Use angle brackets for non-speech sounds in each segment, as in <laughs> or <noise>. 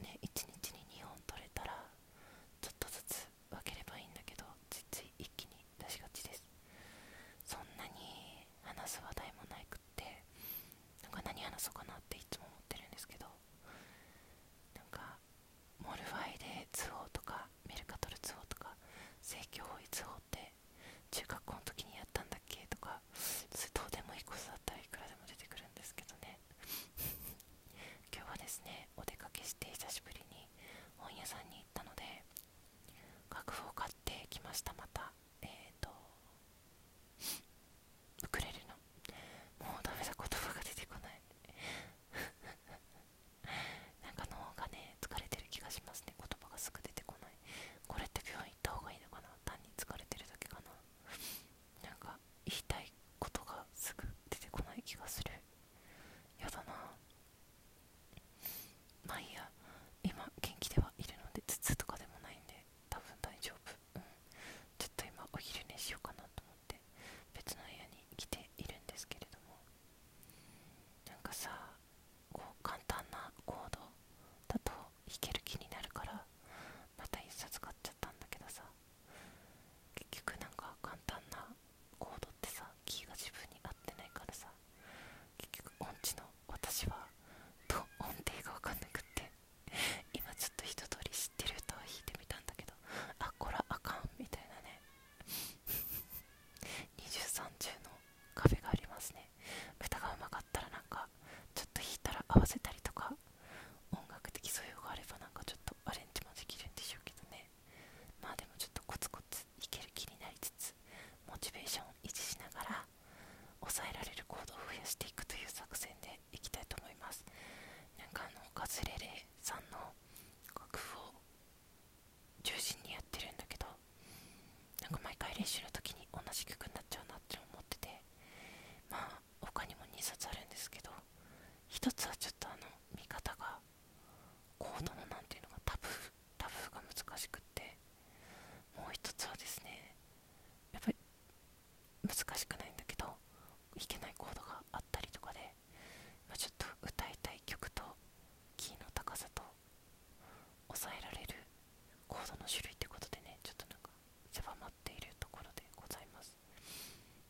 ね1日に2本取れたらちょっとずつ分ければいいんだけどついつい一気に出しがちですそんなに話す話題もなくってなんか何話そうかなっていつも思ってるんですけどなんかモルファイで通報とかメルカトル通報とか正教法い通報って中学校の時にやったんだっけとかそれどうでもいいことだったらいくらでも出てくるんですけどね今日はですねお出かけして久しぶりに本屋さんに行ったので楽譜を買ってきましたまたえー、とウクレレのもうだめだ言葉が出てこない <laughs> なんか脳がね疲れてる気がしますね言葉がすぐ出てこないこれって病院行った方がいいのかな単に疲れてるだけかななんか言いたいことがすぐ出てこない気がするやだなまあいいや今元気ではいるので頭痛とかでもないんで多分大丈夫うんちょっと今お昼寝しようかなと思って別の部屋に来ているんですけれどもなんかさこう簡単なコードだと弾ける気になるからまた一冊買っちゃったんだけどさ結局なんか簡単なコードってさキーが自分に合ってないからさ結局音痴の私はと音程が分かんなくって今ちょっと一通り知ってる歌を弾いてみたんだけどあこらあかんみたいなね23中のカフェがありますね歌がうまかったらなんかちょっと弾いたら合わせたりとか音楽的素養があればなんかちょっとアレンジもできるんでしょうけどねまあでもちょっとコツコツいける気になりつつモチベーションを維持しながら抑えられる行動を増やしていくという作戦でいきたいと思いますなんかあのカズレレさんの楽譜を中心にやってるんだけどなんか毎回練習の時に同じ曲になっちゃうなって思っててまあ他にも2冊あるんですけど1つはちょっとあの見方がコードの何ていうのかタブータブーが難しくってもう1つはですねやっぱり難しくないんだけどいけないコードがあったりとかで、まちょっと歌いたい曲とキーの高さと抑えられるコードの種類ってことでねちょっとなんか狭まているところでございます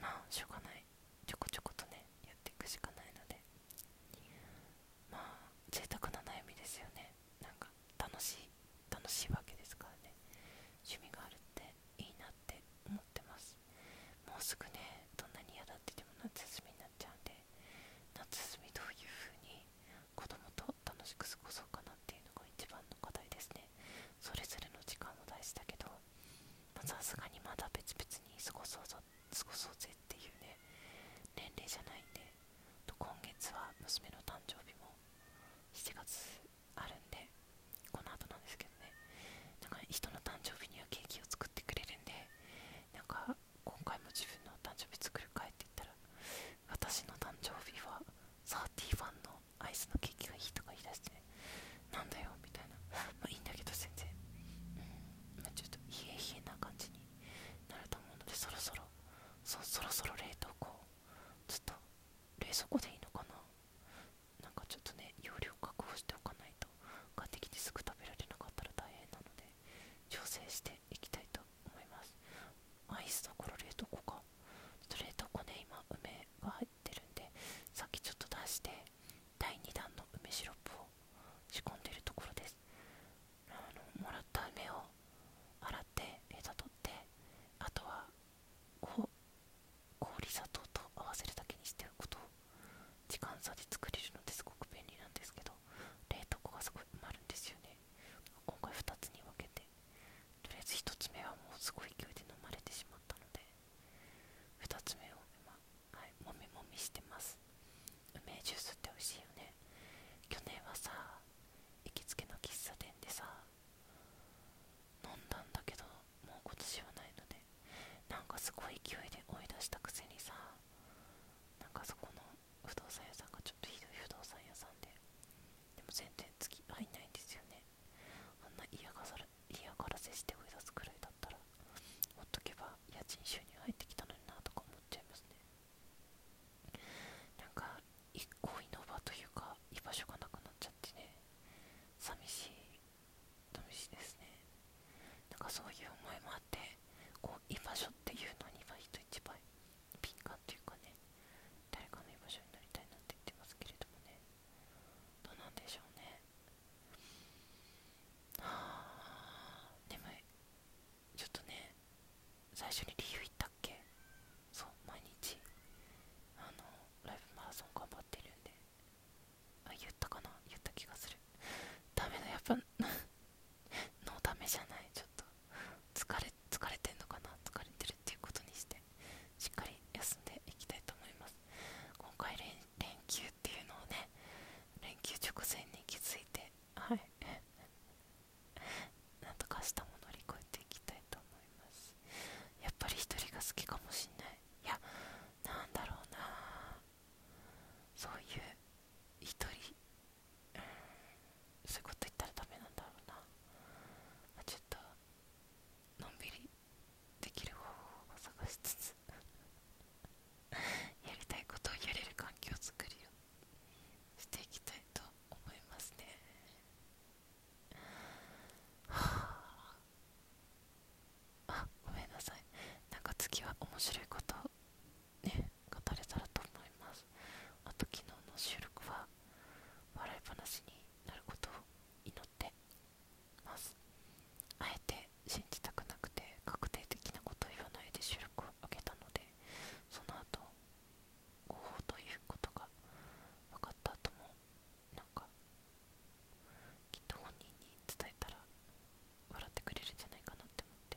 まあしょうがないちょこちょことねやっていくしかないのでまあ贅沢な悩みですよねなんか楽しい楽しいわけですからね趣味があるっていいなって思ってますもうすぐねどんなに嫌だって言ても夏休みになっちゃうんで夏休みどういう風に子供と楽しく過ごそうかなっていうのが一番の課題ですねそれぞれの時間も大事だけどさすがにまだ別々に過ごそうぞ過ごそうぜっていうね年齢じゃないんでと今月は娘の誕生日も7月あるんでこの後なんですけどねなんか人の誕生日にはケーキを作ってくれるんでなんか今回も自分の誕生日作るかいって言ったら私の誕生日はサーティーファンのアイスのケーキがいいとか言い出して、ね、なんだよみたいな <laughs> まあいいんだけど全然ちょっと冷え冷えな感じになると思うのでそろそろそろそろ冷凍庫ちょっと冷蔵庫でいいのかななんかちょっとね容量確保しておかないと買ってきてすぐ食べられなかったら大変なので調整してしきたいと思いますアイスだころ冷凍庫かちょっと冷凍庫ね今梅が入ってるんでさっきちょっと出して第2弾の梅シロップを仕込んでるところですあのもらった梅を洗ってヘタ取ってあとは氷砂糖と合わせるだけにしておくと時間差で作れるのですごく便利なんですけど冷凍庫がすごい埋まるんですよね今回2つに分けてとりあえず1つ目はもうすごい勢いで飲まれてしまったので2つ目をはい、もみもみしてます梅ジュースって美味しいよね去年はさ行きつけの喫茶店でさ飲んだんだけどもう今年はないのでなんかすごい勢いで追い出したくせにさなんかそこの不動産屋さんがちょっとひどい不動産屋さんででも全然月入んないんですよねあんな嫌がらせして追い出すくらいだったらほっとけば家賃収入入ってきたのになとか思っちゃいますねなんか一恋の場というか居場所がなくなっちゃってね寂しい寂しいですねなんかそういう思いもあってこう居場所っていうのに今人1倍敏感というかね誰かの居場所になりたいなって言ってますけれどもねどうなんでしょうねあー眠いちょっとね最初に理由言ったっけそう毎日あのライブマラソン頑張ってるんであ言ったかな言った気がするダメだやっぱ <laughs> のためじゃないちょっと疲れ疲れてんのかな疲れてるっていうことにしてしっかり休んでいきたいと思います今回連休っていうのをね連休直前に気づいてはい <laughs> なんとか明日も乗り越えていきたいと思いますやっぱり一人が好きかもしんないいやなんだろうなそういう一人そういうこと言ったらダメなんだろうな、ちょっとのんびりできる方法を探しつつ <laughs> やりたいことをやれる環境づくりをしていきたいと思いますねはああごめんなさいなんか次は面白いことをね語れたらと思いますあと昨日の収録は笑い話になることを祈ってますあえて信じたくなくて確定的なことを言わないで収録を上げたのでその後誤ということが分かった後もなんかきっと本人に伝えたら笑ってくれるんじゃないかなって思って